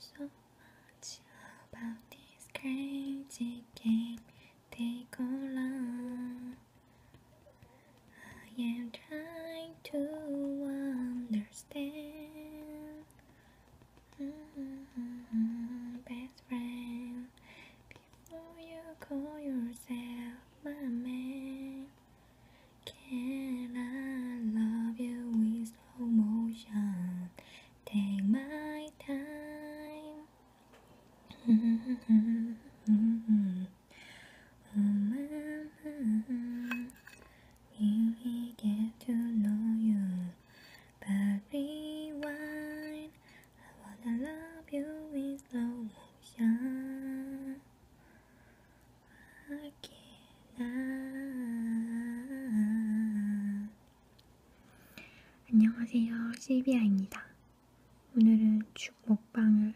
So much about this crazy game they call love. I am trying to understand. Mm-hmm, best friend, before you call yourself my man, can I love you slow motion. Take my time. Here we get to know you, but rewind. I wanna love you in slow motion. I 아. 안녕하세요 실비아입니다 오늘은 죽 먹방을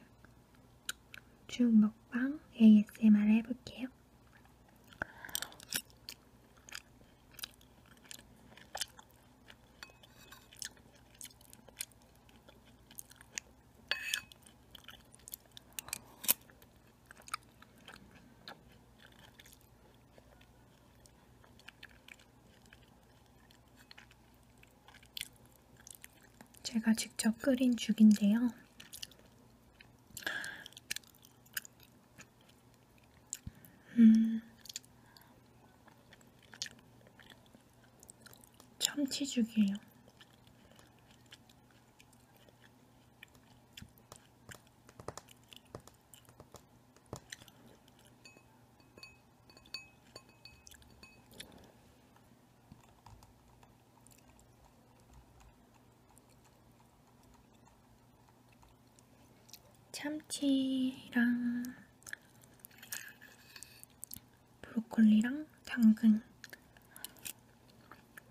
죽 먹방 ASMR 해볼게요 제가 직접 끓인 죽인데요. 음, 참치죽이에요. 참치랑 브로콜리랑 당근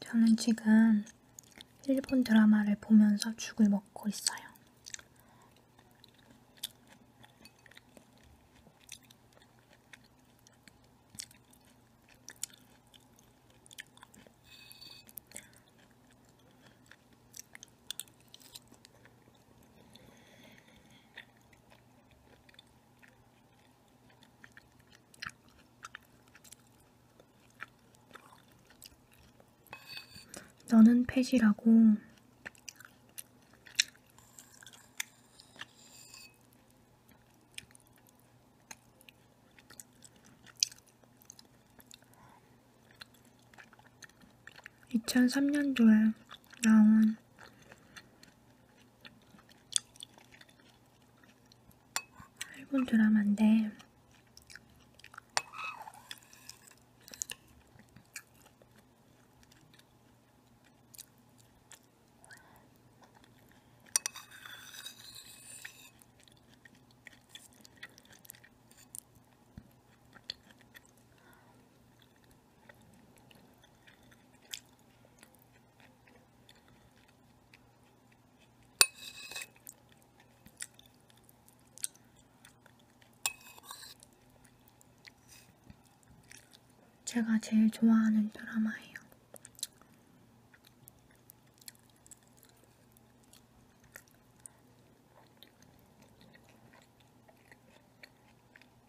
저는 지금 일본 드라마를 보면서 죽을 먹고 있어요. 너는 펫이라고 (2003년도에) 나온 짧은 드라마인데 제가 제일 좋아하는 드라마예요.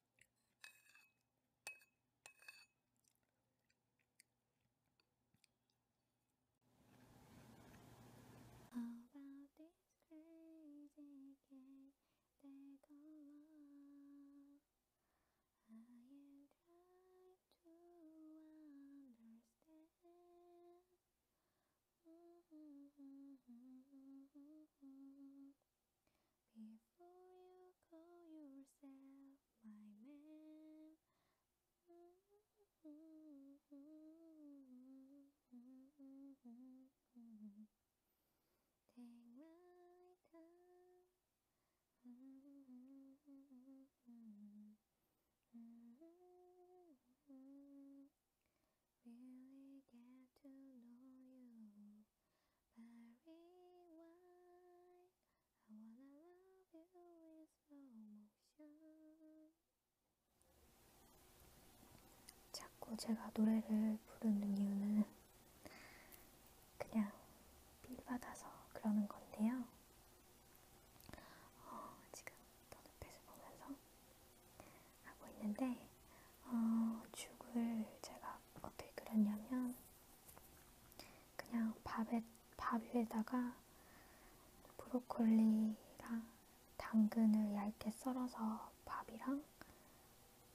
How about this crazy game they call love? I am to understand. Before you call yourself my man. Take my time. Really get to know you. Barry White, I wanna love you in slow motion. 자꾸 제가 노래를 부르는 이유는 그냥 빌받아서 그러는 건데요. 어, 지금 더노펫을 보면서 하고 있는데 어, 죽을 제가 어떻게 그렸냐면 그냥 밥에, 밥 위에다가 브로콜리랑 당근을 얇게 썰어서 밥이랑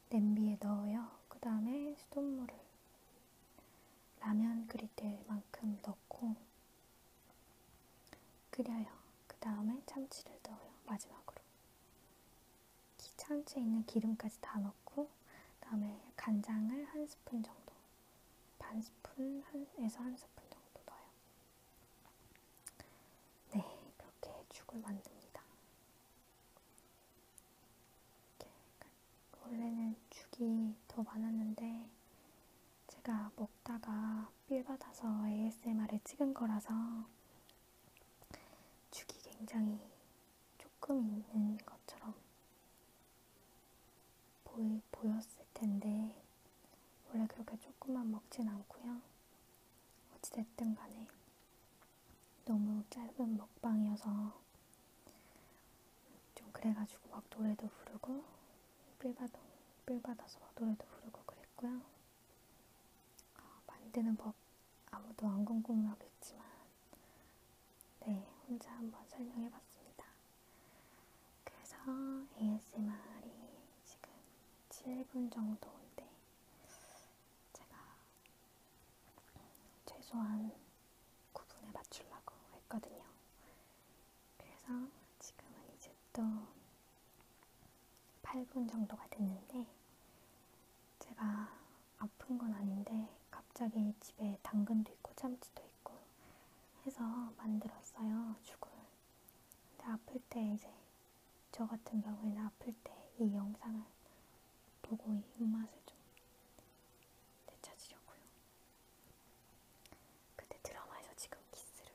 냄비에 넣어요. 그 다음에 수돗물을 라면 끓일 때만큼 넣고 끓여요. 그 다음에 참치를 넣어요. 마지막으로. 찬추에 있는 기름까지 다 넣고 그 다음에 간장을 한 스푼 정도 반 스푼에서 한 스푼 정도 넣어요. 네, 이렇게 죽을 만듭니다. 이렇게 원래는 죽이 더 많았는데 제가 먹다가 삘 받아서 ASMR을 찍은 거라서 죽이 굉장히 조금 있는 것처럼 보이, 보였을 텐데, 원래 그렇게 조금만 먹진 않고요. 어찌됐든 간에 너무 짧은 먹방이어서 좀 그래가지고 막 노래도 부르고 삘받아, 삘받아서 막 노래도 부르고 그랬고요. 어, 만드는 법 아무도 안 궁금하겠지만 네, 혼자 한번 설명해봤습니다. 그래서 ASMR이 지금 7분 정도인데 제가 최소한 9분에 맞추려고 했거든요. 그래서 지금은 이제 또 8분 정도가 됐는데 제가 아픈 건 아닌데 갑자기 집에 당근도 있고 참치도 있고 해서 만들었어요 죽을. 근데 아플 때 이제 저 같은 경우에는 아플 때 이 영상을 보고 이 입맛을 좀 되찾으려고요. 근데 드라마에서 지금 키스를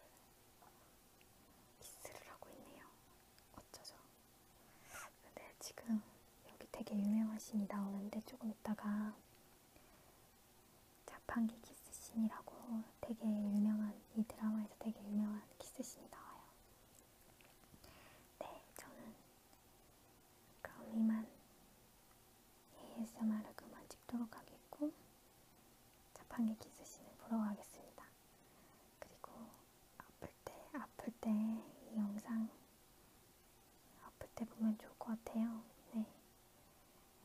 키스를 하고 있네요. 어쩌죠? 근데 네, 지금 여기 되게 유명한 씬이 나오는데 조금 있다가 자판기 키스씬이라고 되게 유명한 이 드라마에서 되게 유명한 키스씬이 나와요. 네, 저는 그럼 이만 ASMR을 그만 찍도록 하겠고 자판기 키스씬을 보러 가겠습니다. 그리고 아플 때, 아플 때 이 영상 아플 때 보면 좋을 것 같아요. 네.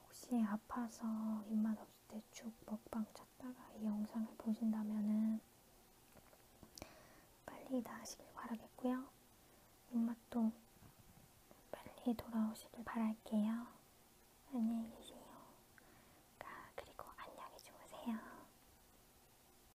혹시 아파서 입맛 없을 때죽 먹방 찾다가 이 영상을 보신다면은 빨리 나으시길 바라겠고요. 입맛도 빨리 돌아오시길 바랄게요. 안녕히 계세요. 아, 그리고 안녕히 주무세요.